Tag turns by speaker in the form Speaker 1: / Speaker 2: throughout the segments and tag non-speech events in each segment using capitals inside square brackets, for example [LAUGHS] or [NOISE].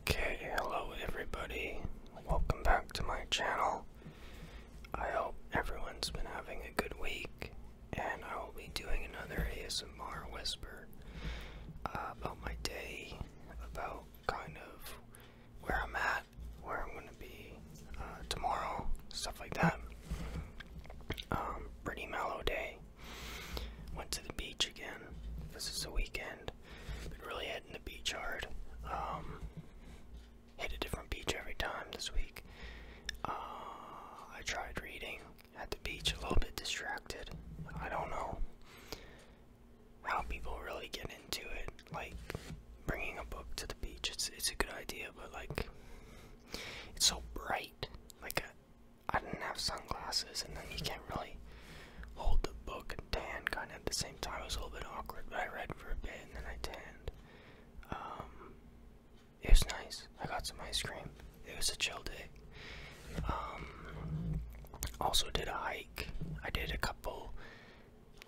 Speaker 1: Okay, hello everybody. Welcome back to my channel. I hope everyone's been having a good week, and I will be doing another ASMR whisper uh, about my day, about kind of where I'm at, where I'm gonna be uh, tomorrow, stuff like that. Um, pretty mellow day. Went to the beach again. This is a weekend. Been really hitting the beach hard. Um, hit a different beach every time this week. Uh, I tried reading at the beach, a little bit distracted. I don't know how people really get into it. Like bringing a book to the beach, it's it's a good idea, but like it's so bright. Like I didn't have sunglasses, and then you can't really hold the book and tan kind of at the same time. It was a little bit awkward, but I read for a bit and then I tanned. Um, it was nice. I got some ice cream. It was a chill day. Um, also did a hike. I did a couple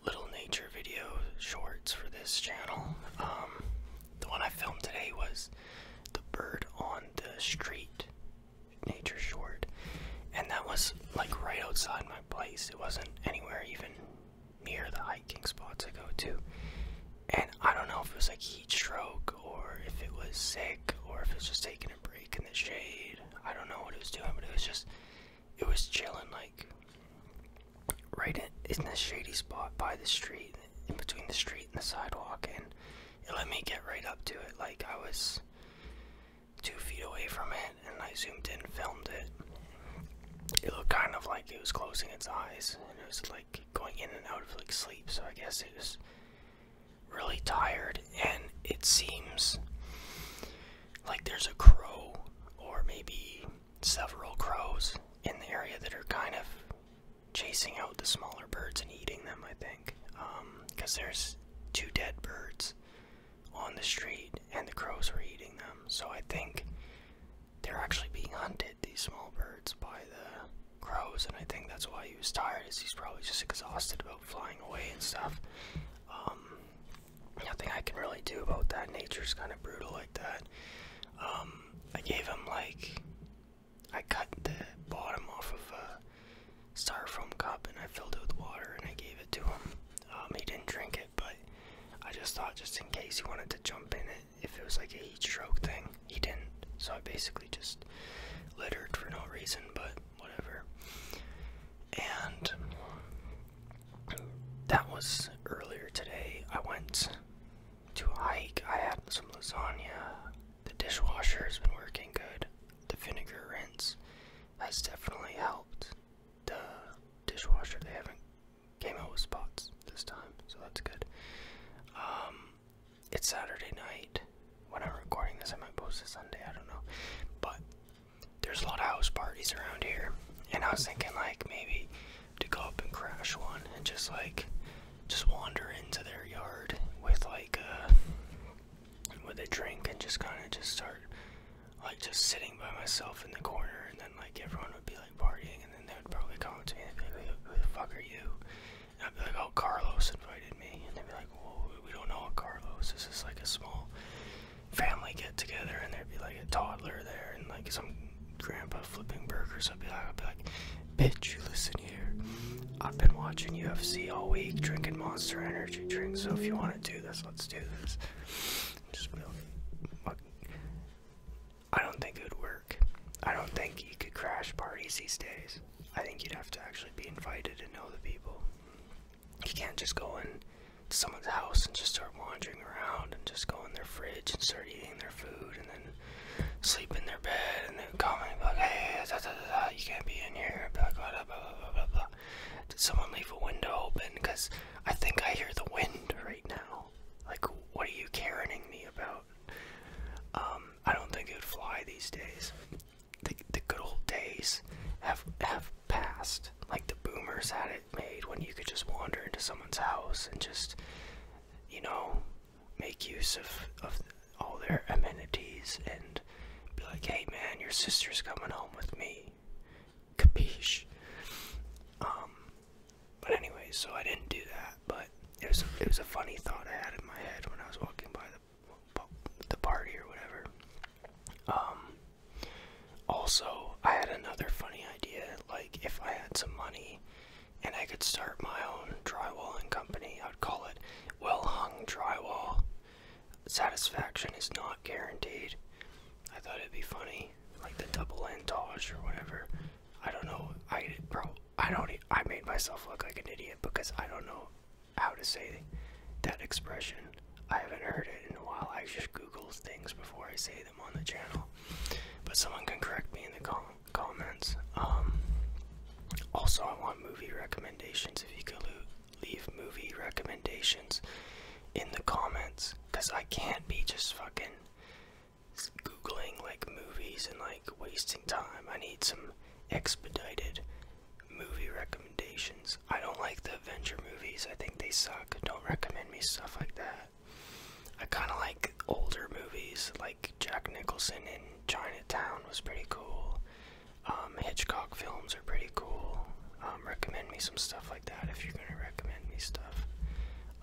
Speaker 1: little nature video shorts for this channel.
Speaker 2: Um, the one I filmed today was the bird on the street nature short and that was like right outside my place it wasn't anywhere even near the hiking
Speaker 1: spots i go to and i don't know if it was like heat stroke or if it was sick or if it was just taking a break in the shade i don't know what it was doing but it was just it was chilling like right in, in the shady spot by the street in between the street and the sidewalk and it let me get right up to it. Like I was two feet away from it, and I zoomed in, filmed it. It looked kind of like it was closing its eyes, and it was like going in and out of like sleep. So I guess it was really tired, and it seems like there's a crow or maybe several crows in the area that are kind of chasing out the smaller birds and eating them, I think. Because um, there's two dead birds on the street, and the crows were eating them. So I think they're actually being hunted, these small birds, by the crows. And I think that's why he was tired, is he's probably just exhausted about flying away and stuff. Um, nothing I can really do about that. Nature's kind of brutal like that. Um, I gave him like I cut the bottom off of a uh, styrofoam cup and I filled it with water and I gave it to him. Um, he didn't drink it, but I just thought just in case he wanted to jump in it, if it was like a heat stroke thing, he didn't. So I basically just littered for no reason, but whatever. And that was earlier today. I went to hike. I had some lasagna. The dishwasher has been working good. The vinegar rinse has definitely helped. The dishwasher, they haven't came out with spots this time, so that's good. Um, it's Saturday night. When I'm recording this, I might post it Sunday, I don't know. But there's a lot of house parties around here, and I was thinking, like, maybe to go up and crash one and just, like, just wander into their yard with like a uh, with a drink and just kind of just start like just sitting by myself in the corner and then like everyone would be like partying and then they would probably come up to me and be like who the fuck are you and I'd be like oh Carlos invited me and they'd be like whoa we don't know Carlos this is like a small family get together and there'd be like a toddler there and like some grandpa flipping burgers I'd like I'd be like Bitch, you listen here. I've been watching UFC all week, drinking monster energy drinks, so if you want to do this, let's do this. Just really, I don't think it would work. I don't think you could crash parties these days. I think you'd have to actually be invited and know the people.
Speaker 2: You can't just go in to someone's house and just start wandering around and just go in their fridge and start eating their food and then sleep in their bed and they would call me and be like, hey, you can't be in
Speaker 1: here. Did someone leave a window open? Because I think I hear the wind right now. Like, what are you caroning me about? Um, I don't think it would fly these days. The, the good old days have have passed. Like the boomers had it made when you could just wander into someone's house and just, you know, make use of, of all their amenities and be like, hey man, your sister's coming home with me. Capiche? Um, but anyway, so I didn't do that, but it was, a, it was a funny thought I had in my head when I was walking by the, the party or whatever. Um, also, I had another funny idea, like if I had some money and I could start my own drywalling company. I'd call it Well Hung Drywall. Satisfaction is not guaranteed. I thought it'd be funny, like the double entendre or whatever. I don't know. I bro, I don't. I made myself look like an idiot because I don't know how to say that expression. I haven't heard it in a while. I just Google things before I say them on the channel. But someone can correct me in the comments comments. Um, also, I want movie recommendations. If you could leave movie recommendations in the comments, because I can't be just fucking googling like movies and like wasting time. I need some expedited movie recommendations. I don't like the Avenger movies. I think they suck. Don't recommend me stuff like that. I kind of like older movies like Jack Nicholson in Chinatown was pretty cool. Um, Hitchcock films are pretty cool. Um, recommend me some stuff like that if you're gonna recommend me stuff.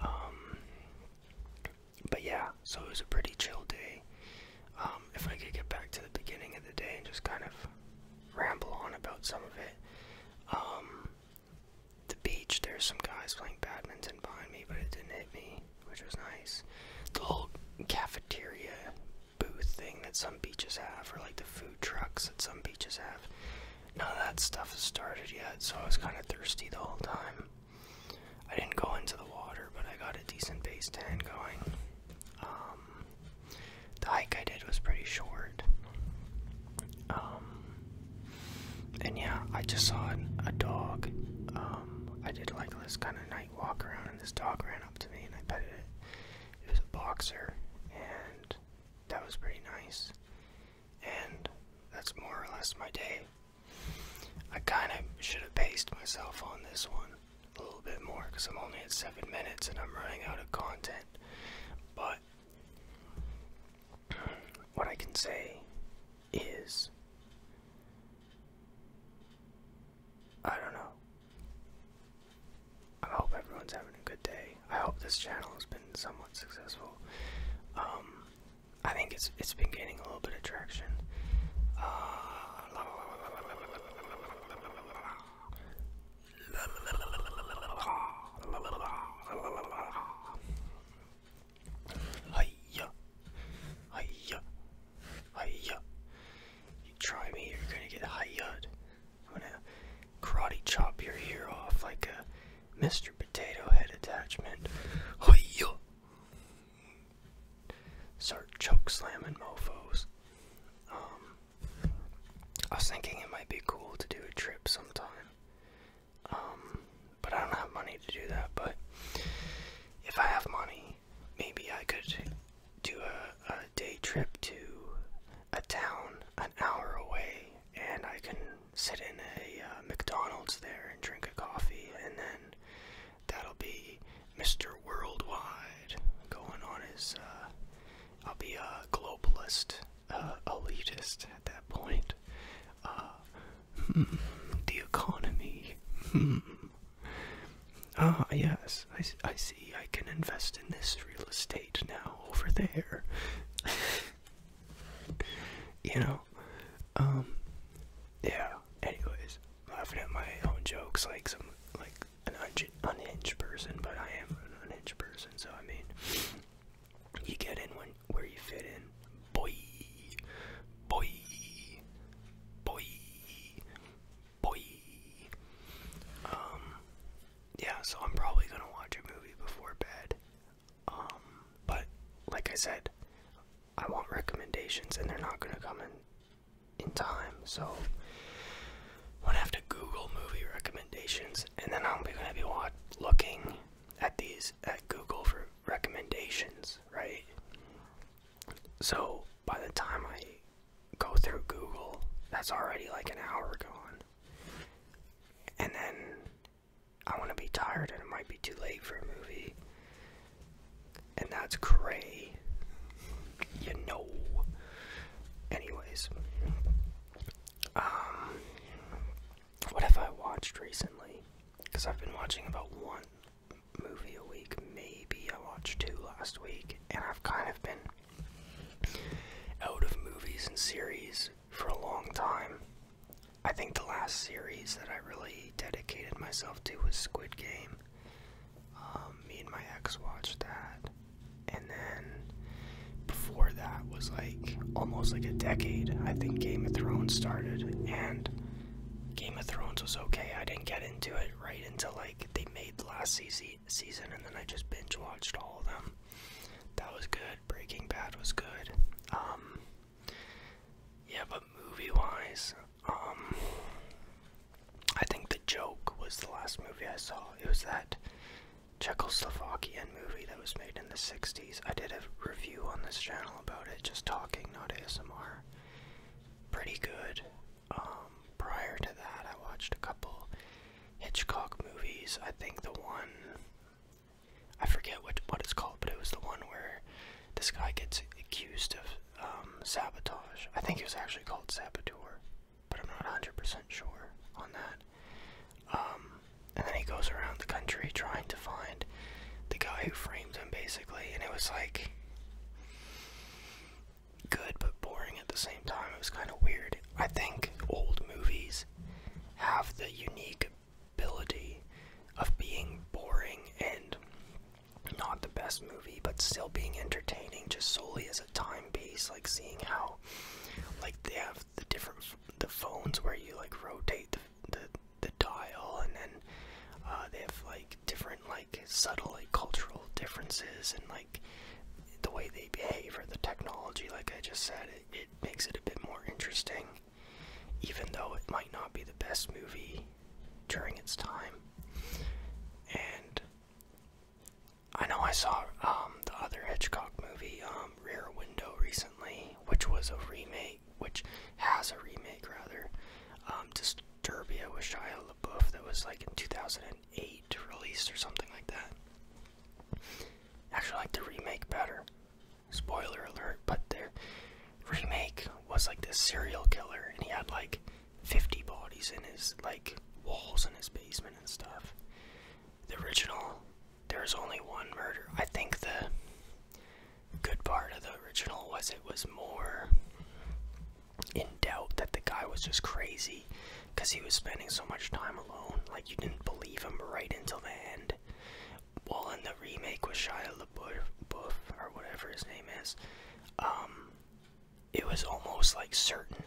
Speaker 1: Um, but yeah, so it was a pretty chill day. if I could get back to the beginning of the day and just kind of ramble on about some of it, the beach, there's some guys playing badminton behind me, but it didn't hit me, which was nice. The whole cafeteria booth thing that some beaches have, or like the food trucks that some beaches have, none of that stuff has started yet, so I was kind of thirsty the whole time. I didn't go into the water, but I got a decent base tan going. Um, the hike I did was pretty short. Um, and yeah, I just saw a dog. Um, I did like this kind of night walk around, and this dog ran up to me, and I petted it. It was a boxer, and that was pretty nice. And that's more or less my day. I kind
Speaker 2: of should have paced myself on this one a little bit more because I'm only at seven minutes and
Speaker 1: I'm running out of content. But [CLEARS THROAT] what I can say is. I don't know. I hope everyone's having a good day. I hope this channel has been somewhat successful. Um, I think it's it's been gaining a little bit of traction. Uh, Hiya. Hiya. Hiya. You try me, you're gonna get hiyaed. I'm gonna karate chop your ear off like a Mr. Potato Head attachment. Hiya. Start choke slamming mofos. Um, I was thinking it might be cool to do a trip sometime. Um, but I don't have money to do that. But if I have money, maybe I could do a, a day trip to a town an hour away, and I can sit in a uh, McDonald's there and drink a coffee, and then that'll be Mr. Worldwide going on his. Uh, I'll be a globalist, uh, elitist at that point uh, [LAUGHS] the economy. Hmm. Ah, yes, I, I see. I can invest in this real estate now over there. [LAUGHS] you know, um, yeah. Anyways, laughing at my own jokes like some like an un unhinged person, but I am an unhinged person, so I mean, you get in where you fit in. Boy, boy, boy, boy. Um, yeah. So I'm probably gonna watch a movie before bed. Um, but like I said, I want recommendations, and they're not gonna come in in time. So I'm gonna have to Google movie recommendations, and then I'm gonna be looking at these at Google for recommendations, right? So by the time I go through Google, that's already like an hour gone. And then I want to be tired and it might be too late for a movie. And that's cray. You know. Anyways. Um, what have I watched recently? Because I've been watching about one movie a week, maybe. I watched two last week, and I've kind of been out of movies and series for a long time. I think the last series that I really dedicated myself to was Squid Game. Um, me and my ex watched that and then before that was like almost like a decade. I think Game of Thrones started, and Game of Thrones was okay. I didn't get into it right until like they made the last season, and then I just binge watched all of them. That was good. Breaking Bad was good. Um, yeah, but movie wise, um, I think The Joke was the last movie I saw. It was that Czechoslovakian movie that was made in the 60s. I did a review on this channel about it, just talking, not ASMR. Pretty good. Um, prior to that, I watched a couple Hitchcock movies. I think the one, I forget what, what it's called, but it was the one where this guy gets accused of um, sabotage. I think it was actually called Saboteur but I'm not 100% sure on that. Um, and then he goes around the country trying to find the guy who framed him, basically, and it was like good but boring at the same time. It was kind of weird. I think old movies have the unique ability of being boring and not the best movie, but still being entertaining just solely as a time piece, like seeing how like they have the different the phones where you like rotate the the, the dial, and then uh, they have like different like subtle like cultural differences and like the way they behave or the technology. Like I just said, it, it makes it a bit more interesting, even though it might not be the best movie during its time. And I know I saw um, the other Hitchcock movie, um, Rear Window, recently, which was a remake, which has a remake rather. Um, Disturbia with Shia LaBeouf that was like in 2008 released or something like that. Actually, I like the remake better. Spoiler alert, but their remake was like this serial killer, and he had like 50 bodies in his like
Speaker 2: walls in his basement and stuff the original, there was only one
Speaker 1: murder. I think the good part of the original was it was more in doubt that the guy was just crazy because he was spending so much time alone. Like, you didn't believe him right until the end. Well, in the remake with Shia LaBeouf, or whatever his name is, um, it was almost like certain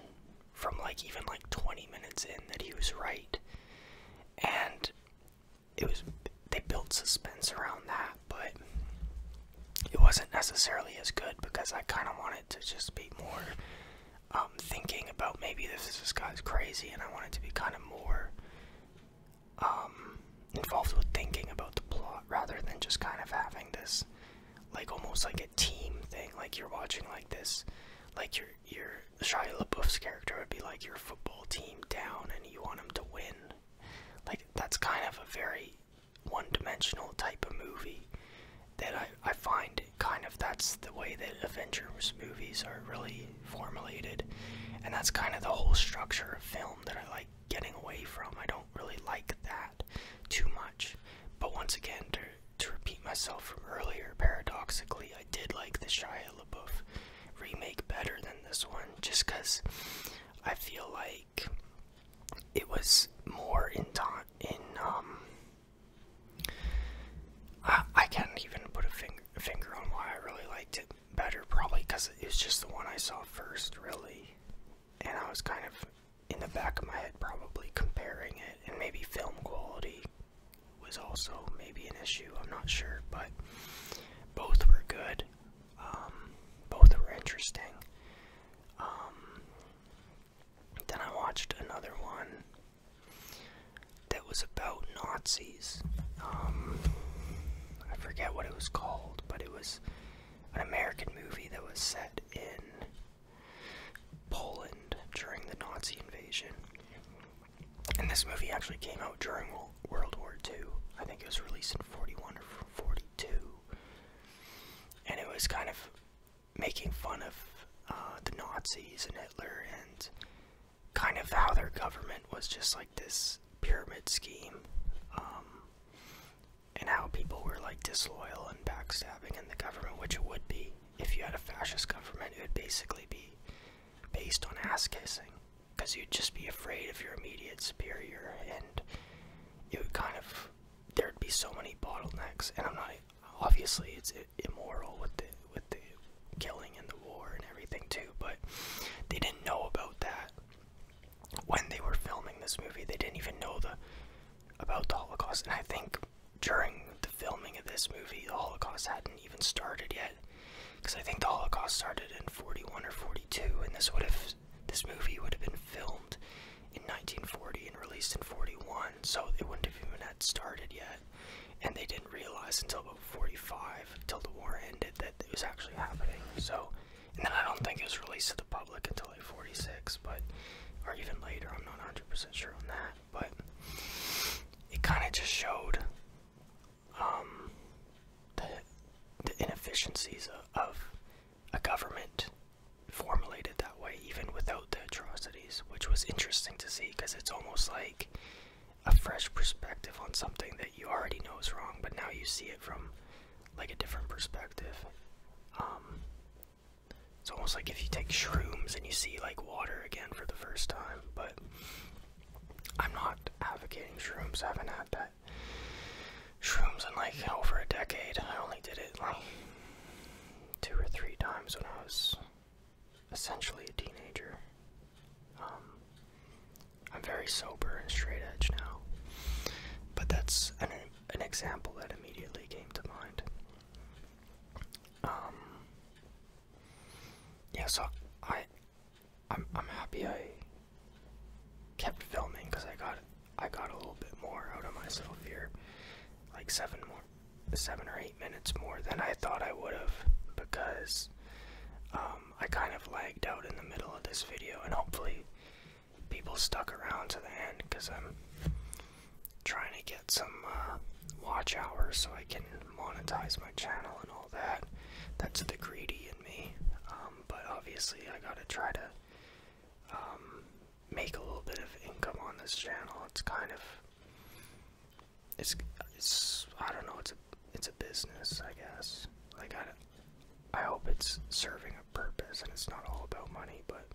Speaker 1: from like even like 20 minutes in that he was right. And it was they built suspense around that, but it wasn't necessarily as good because I kind of wanted to just be more um, thinking about maybe this this guy's crazy, and I wanted to be kind of more um, involved with thinking about the plot rather than just kind of having this like almost like a team thing. Like you're watching like this, like your your Shia LaBeouf's character would be like your football team down, and you want them to win. Like that's kind of a very one-dimensional type of movie that I I find kind of that's the way that Avengers movies are really formulated, and that's kind of the whole structure of film that I like getting away from. I don't really like that too much. But once again, to, repeat myself from earlier, paradoxically, I did like the Shia LaBeouf remake better than this one, just because I feel like it was more in time. In um, I, I can't even put a finger finger on why I really liked it better. Probably because it was just the one I saw first, really, and I was kind of in the back of my head probably comparing it and maybe film quality was also maybe an issue i'm not sure but both were good um, both were interesting um, then i watched another one that was about nazis um, i forget what it was called but it was an american movie that was set in Poland during the Nazi invasion. And this movie actually came out during World War II. I think it was released in 41 or 42. And it was kind of making fun of uh, the Nazis and Hitler and kind of how their government was just like this pyramid scheme. Um, and how people were like disloyal and backstabbing in the government, which it would be if you had a fascist government. It would basically be based on ass kissing, because you'd just be afraid of your immediate superior, and it would kind of there'd be so many bottlenecks. And I'm not obviously it's immoral with the with the killing and the war and everything too, but
Speaker 2: they didn't know about that when they were filming this movie. They didn't even know the about the Holocaust, and I think during the filming of this movie, the
Speaker 1: Holocaust hadn't even started yet, because I think the Holocaust started in '41 or '42, and this would have this movie would have been filmed in 1940 and released in '41, so it wouldn't have even had started yet, and they didn't realize until about
Speaker 2: '45, till the war ended, that it was actually happening. So, and then I don't think it was released to the public until. 46, but or even later. I'm not 100 percent sure on that, but
Speaker 1: it kind of just showed um, the the inefficiencies of, of a government formulated that way, even without the atrocities, which was interesting to see because it's almost like a fresh perspective on something that you already know is wrong, but now you see it from like a different perspective. Um, it's almost like if you take shrooms and you see like water again for the first time, but I'm not advocating shrooms. I haven't had that shrooms in like over a decade. I only did it like two or three times when I was essentially a teenager. Um, I'm very sober and straight edge now, but that's an an example that immediately came to mind. Um, yeah, so I, I'm, I'm happy I kept filming because I got I got a little bit more out of myself here, like seven more, seven or eight minutes more than I thought I would have because um, I kind of lagged out in the middle of this video, and hopefully people stuck around to the end because I'm trying to get some uh, watch hours so I can monetize my channel and all that. That's the greedy in me. Um, but obviously, I gotta try to um, make a little bit of income on this channel. It's kind of it's it's I don't know. It's a it's a business, I guess. I gotta. I hope it's serving a purpose and it's not all about money, but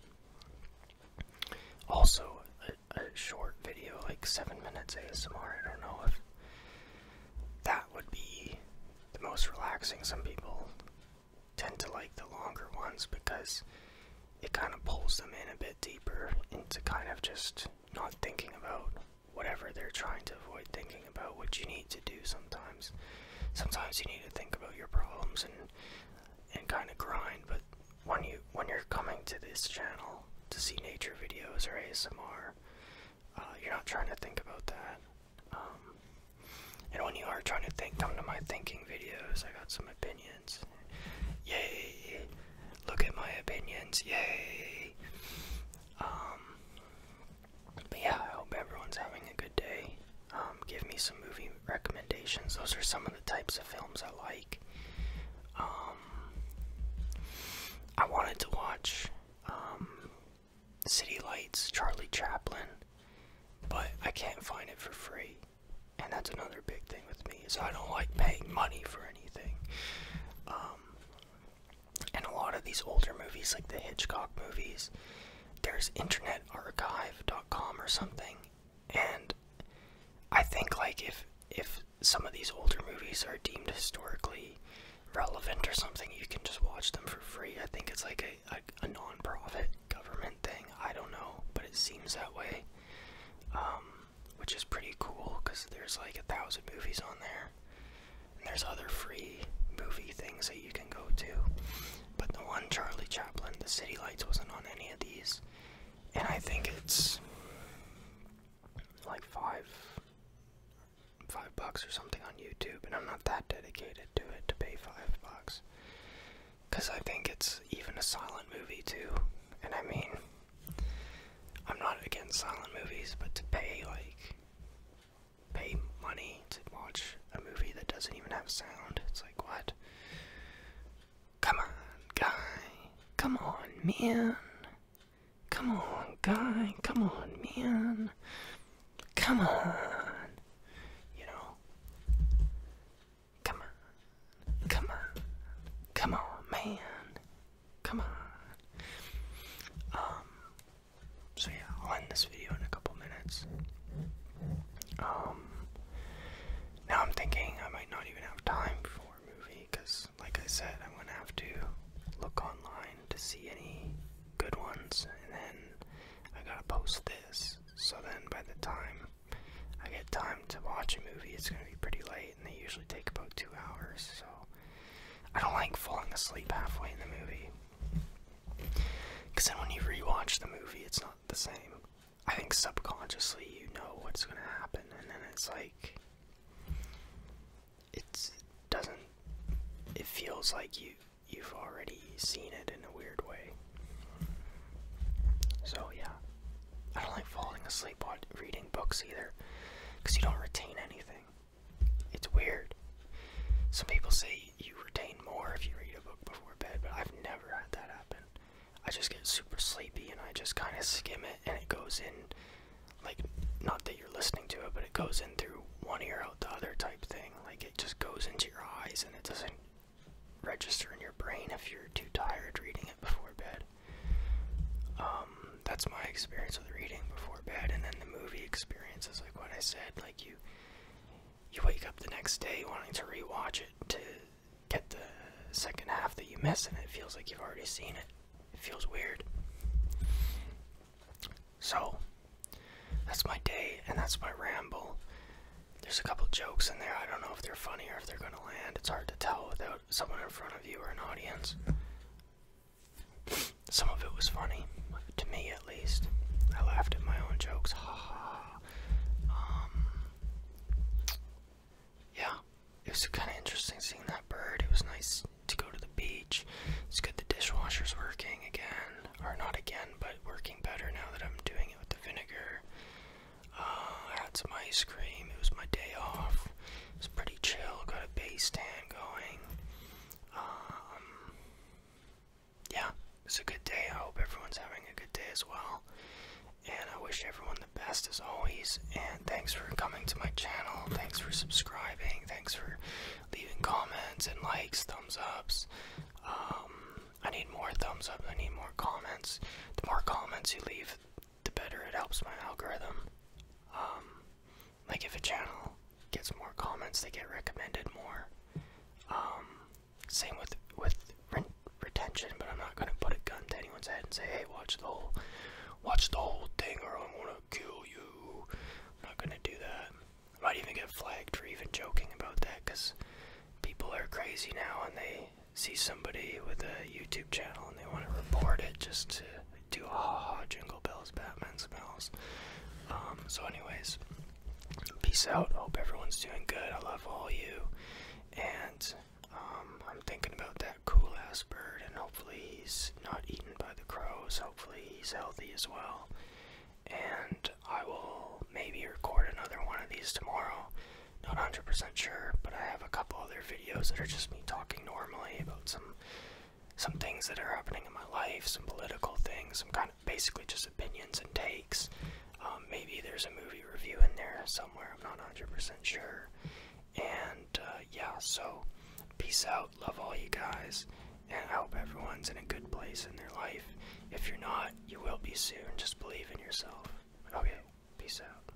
Speaker 1: also a, short video, like seven minutes ASMR. I don't know if that would be the most relaxing. Some people tend to like the longer ones because it kind of pulls them in a bit deeper into kind of just not thinking about whatever they're trying to avoid thinking about, what you need to do sometimes sometimes you need to think about your problems and and kind of grind but when you when you're coming to this channel to see nature videos or ASMR uh, you're not trying to think about that um, and when you are trying to think come to my thinking videos I got some opinions yay look at my opinions yay um, but yeah, I hope everyone's having a good day. Um, give me some movie recommendations. Those are some of the types of films I like.
Speaker 2: Um, I wanted to watch um, City Lights, Charlie Chaplin, but I can't
Speaker 1: find it for free. And that's another big thing with me is I don't like paying money for anything. and a lot of these older movies, like the Hitchcock movies, there's dot com or something and i think like if if some of these older movies are deemed historically relevant or something you can just watch them for free i think it's like a, a, non-profit government thing i don't know but it seems that way um, which is pretty cool because there's like a thousand movies on
Speaker 2: there there's other free movie things that you can go to. But the one Charlie Chaplin, The City Lights, wasn't
Speaker 1: on any of these. And I think it's like five five bucks or something on YouTube and I'm not that dedicated to it to pay five bucks. Cause I think it's even a silent movie too. And I mean I'm not against silent movies, but to pay like pay money to watch a movie that doesn't even have sound. It's like, what? Come on, guy. Come on, man. Come on, guy. Come on, man. Come on. You know? Come on. Come on. Come on, man. Come on. Um, so yeah, I'll end this video in a couple minutes. Um, now I'm thinking I might not even have time for a movie because, like I said, I'm gonna have to look online to see any good ones, and then I gotta post this. So then, by the time I get time to watch a movie, it's gonna be pretty late, and they usually take about two hours. So I don't like falling asleep halfway in the movie. Because then when you rewatch the movie, it's not the same. I think subconsciously you know what's going to happen, and then it's like. it doesn't. It feels like you, you've already seen it in a weird way. So, yeah. I don't like falling asleep while reading books either, because you don't retain anything. It's weird. Some people say you retain more if you read a book before bed, but I've never had that happen. I just get super sleepy and I just kind of skim it and it goes in, like, not that you're listening to it, but it goes in through one ear out the other type thing. Like, it just goes into your eyes and it doesn't register in your brain if you're too tired reading it before bed. Um, that's my experience with reading before bed, and then the movie experience is like what I said, like you you wake up the next day wanting to rewatch it to get the second half that you miss, and it feels like you've already seen it. It feels weird. So that's my day and that's my ramble. There's a couple jokes in there. I don't know if they're funny or if they're gonna land. It's hard to tell without someone in front of you or an audience. Some of it was funny, to me at least. I laughed at my own jokes. Ha ha. Um, yeah, it was kind of interesting seeing that bird. It was nice to go to the beach. It's good the dishwasher's working again, or not again, but working better now that I'm doing it with the vinegar. Uh, I had some ice cream. It was my day off. It's pretty chill. Got a base tan going. Um, yeah, it's a good day. I hope everyone's having a good day as well. And I wish everyone the best as always. And thanks for coming to my channel. Thanks for subscribing. Thanks for leaving comments and likes, thumbs ups. Um, I need more thumbs up. I need more comments. The more comments you leave, the better it helps my algorithm. Um, like if a channel gets more comments, they get recommended more. Um, same with with retention, but I'm not gonna put a gun to anyone's head and say, "Hey, watch the whole, watch the whole thing, or I'm gonna kill you." I'm not gonna do that. I might even get flagged for even joking about that, cause people are crazy now, and they see somebody with a YouTube channel and they want to report it just to to Ha Ha Jingle Bells Batman Smells. Um, so, anyways, peace out. Hope everyone's doing good. I love all you. And um, I'm thinking about that cool ass bird, and hopefully he's not eaten by the crows. Hopefully he's healthy as well. And I will maybe record another one of these tomorrow. Not 100% sure, but I have a couple other videos that are just me talking normally about some some things that are happening in my life, some political things, some kind of basically just opinions and takes. Um, maybe there's a movie review in there somewhere, I'm not 100% sure. And uh, yeah, so peace out,
Speaker 2: love all you guys, and I hope everyone's in a good place in their life. If you're not, you will be soon, just believe in yourself. Okay, peace out.